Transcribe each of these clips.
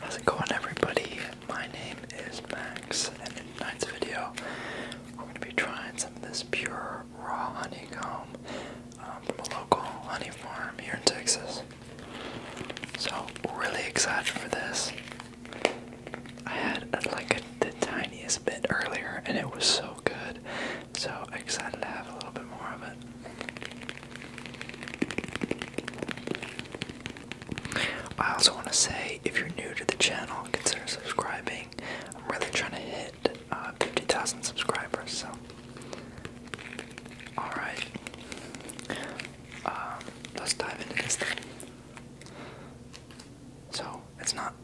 How's it going everybody? My name is Max and in tonight's video we're going to be trying some of this pure raw honeycomb um, from a local honey farm here in Texas. So really excited for this. I had like the tiniest bit earlier and it was so good. So excited to have a little bit more of it. I also want to say if you're new to the channel, consider subscribing. I'm really trying to hit uh, 50,000 subscribers, so. Alright. Um, let's dive into this thing. So, it's not.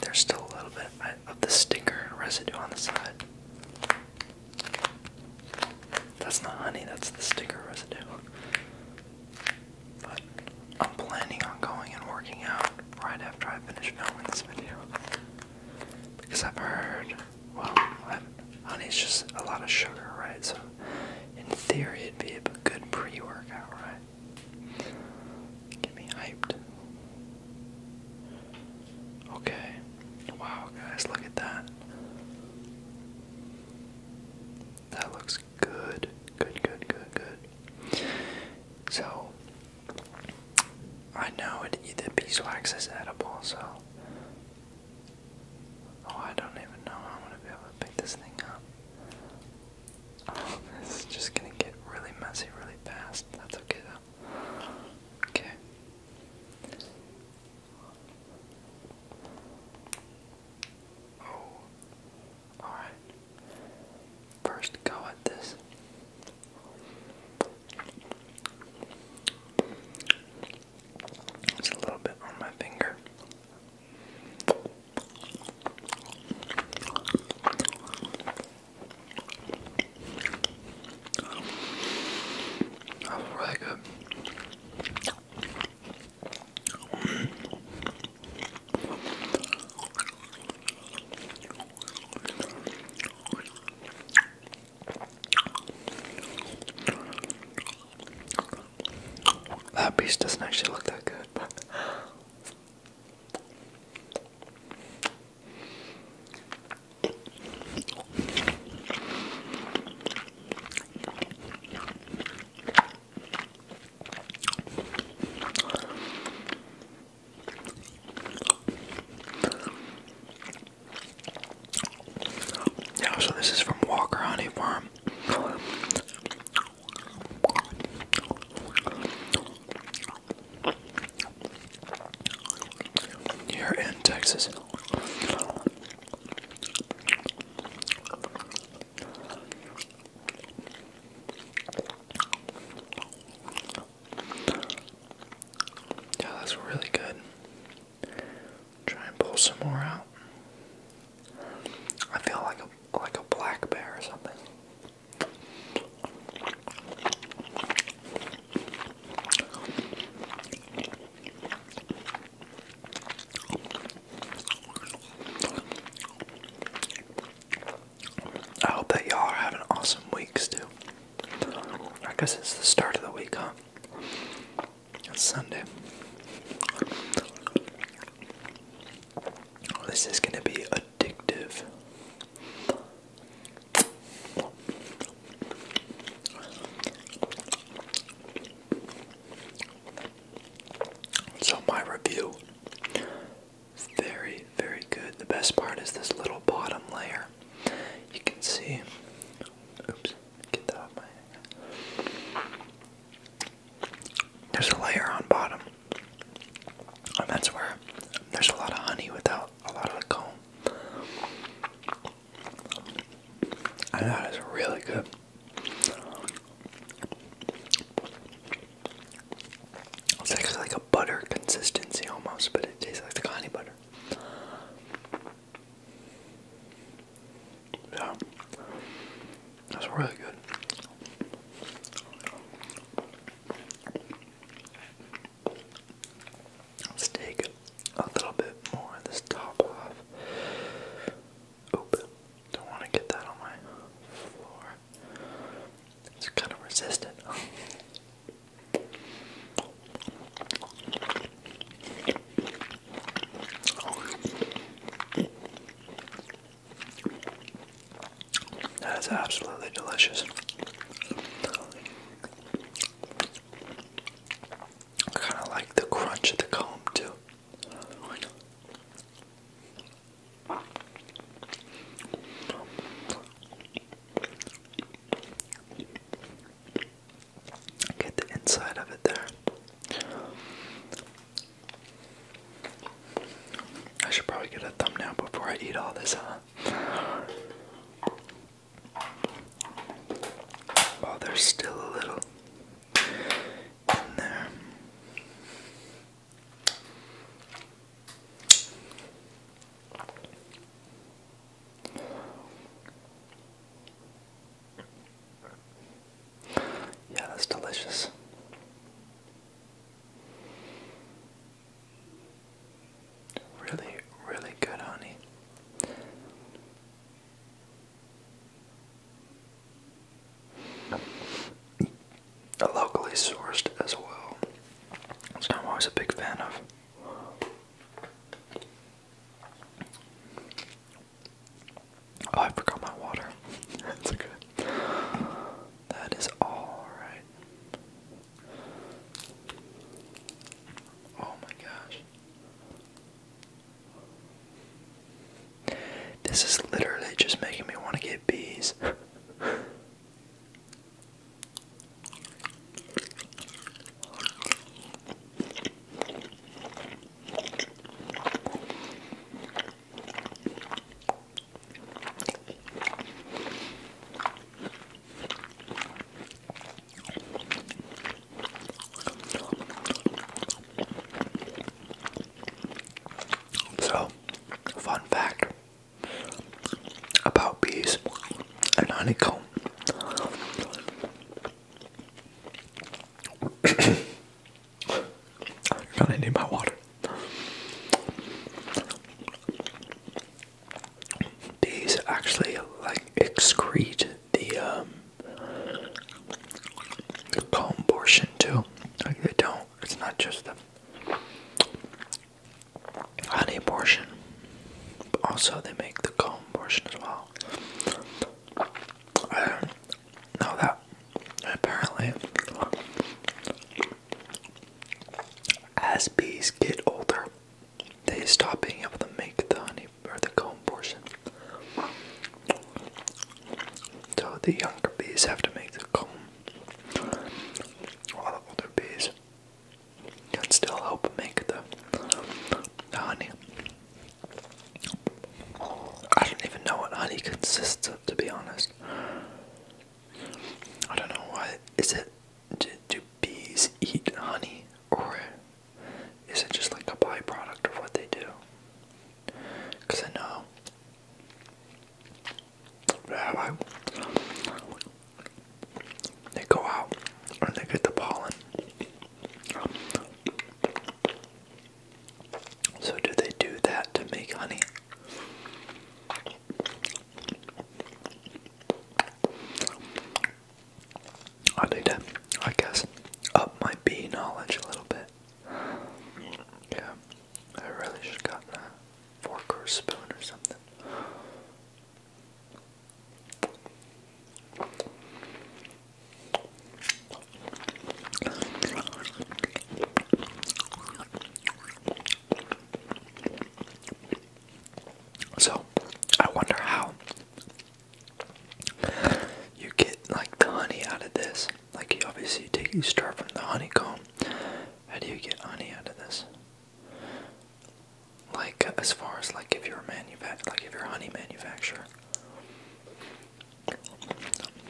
There's still a little bit. I of the sticker residue on the side. That's not honey, that's the sticker residue. But I'm planning on going and working out right after I finish filming this video. Because I've heard, well, I've, honey's just a lot of sugar, right? So in theory, it'd be a good pre workout, right? Get me hyped. Okay. Wow, guys, look at that. That looks good. Good, good, good, good. So, I know it, the beeswax is edible, so. Oh, I don't even know how I'm going to be able to pick this thing up. Oh, this is just gonna get really messy really fast. That's okay though. Okay. Oh. Alright. First go at this. It's a little bit on my finger. That piece doesn't actually look that good, Yeah, so this is from Walker Honey Farm. You're in Texas. Yeah, that's really good. Try and pull some more out. I feel like a like a black bear or something. I hope that y'all are having awesome weeks too. I guess it's the start of the week, huh? It's Sunday. This is going to be a addictive. So, my review very, very good. The best part is this little bottom layer. You can see. Oops, get that off my head. There's a layer on bottom and that's where there's a lot of honey without a lot of the comb. And that is really good. It's actually like a butter consistency almost, but it tastes like the honey butter. Yeah, that's really good. Let's take a little bit more of this top off. Oop, don't want to get that on my floor. It's kind of resistant. That is absolutely delicious. I kind of like the crunch of the comb, too. Get the inside of it there. I should probably get a thumbnail before I eat all this, huh? Oh, there's still a little in there. Yeah, that's delicious. Really, really good honey. Locally sourced as well. That's what I'm always a big fan of. Oh, I forgot my water. That's good. That is all right. Oh my gosh. This is literally just making me want to get bees. So, fun fact about bees and honeycomb. You're gonna need my water. These actually like excrete the um the comb portion too. Like they don't. It's not just the honey portion, but also they make the comb portion as well know that apparently as bees get older, they stop being able to make the honey or the comb portion. So the younger bees have to make the comb. While the older bees can still help make the, honey. I don't even know what honey consists of, to be honest. I don't know why. Is it. Do, do bees eat honey? Or is it just like a byproduct of what they do? Because I know. They go out and they get the pollen. So, do they do that to make honey? I need to, I guess, up my bee knowledge a little bit. Yeah, I really should have a fork or spoon or something. So, I wonder how you get like the honey out of this. Like, you obviously take you start from the honeycomb. How do you get honey out of this? Like, as far as like if you're a manufact, like if you're a honey manufacturer,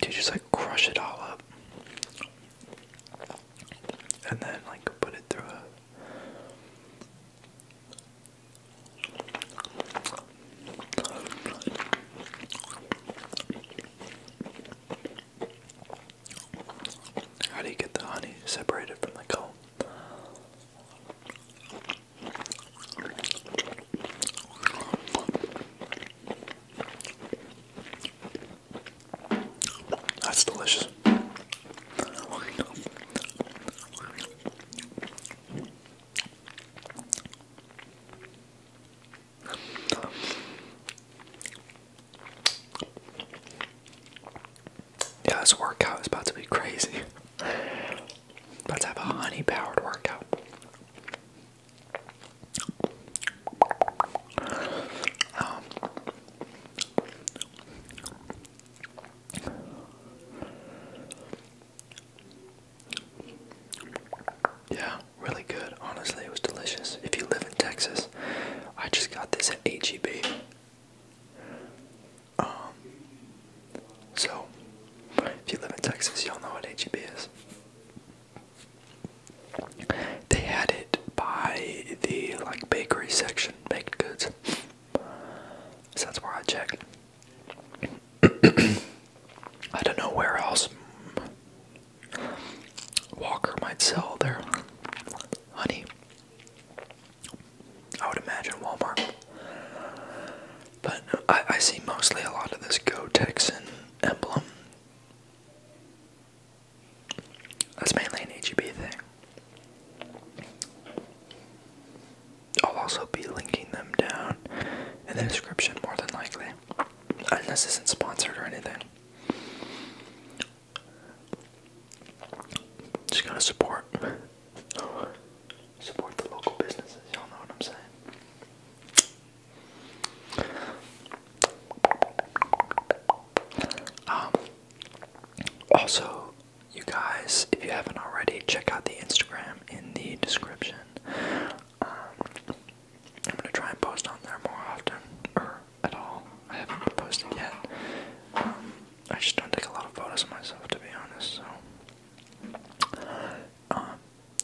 to just like crush it all up and then like put it through how do you get the honey separated from the comb? That's delicious. Yeah, this workout is about to be crazy. Let's have a honey powered workout yeah, really good. Honestly, it was delicious. If you live in Texas, I just got this at HEB. Um, so, if you live in Texas, y'all know what HEB is. They had it by the like bakery section, baked goods. that's where I check. I don't know where else Walker might sell their honey. I would imagine Walmart. But I, I see mostly a lot of this Go Texan emblem. That's mainly an AGB thing. I'll also be linking them down in the description more than likely. And this isn't sponsored or anything. Just gotta support. Support the local businesses. Y'all know what I'm saying? Um, also, you guys, if you haven't already, check out the Instagram in the description. Um, I'm gonna try and post on there more often, or at all. I haven't been posting yet. Um, I just don't take a lot of photos of myself, to be honest. So,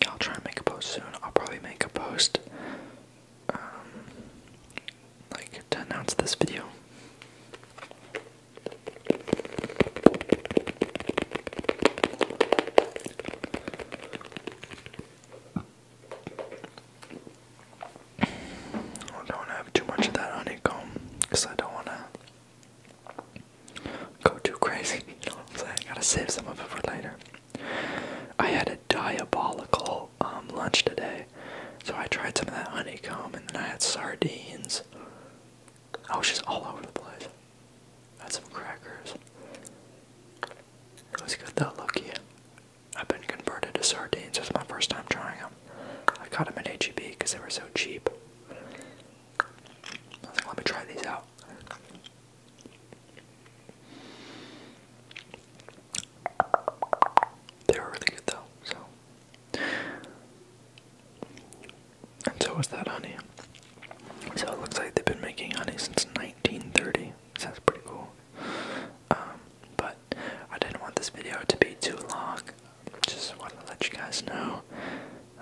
I'll try and make a post soon. I'll probably make a post um, like to announce this video. don't have too much of that honeycomb because I don't want to go too crazy. You know what I'm saying? gotta save some of it for later. I had a diabolical um, lunch today, so I tried some of that honeycomb, and then I had sardines. Oh, she's all over the place. I had some crackers. It was good though, Loki. I've been converted to sardines. It was my first time trying them. I got them at HEB because they were so cheap. let me try these out. They were really good though, so. And so was that honey. So it looks like they've been making honey since 1930. Sounds pretty cool. Um, but I didn't want this video to be too long. Just wanted to let you guys know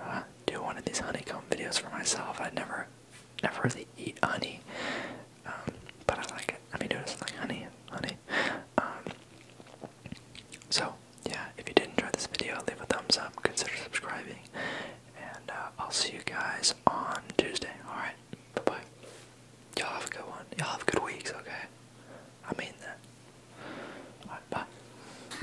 uh, do one of these honeycomb videos for myself. I never, never really eat honey, um, but I like it. I mean, do does honey? Honey. Um, so yeah, if you did not enjoy this video, leave a thumbs up, consider subscribing, and uh, I'll see you guys on Tuesday. All right, bye bye. Y'all have a good one. Y'all have good weeks. Okay, I mean that. All right, bye.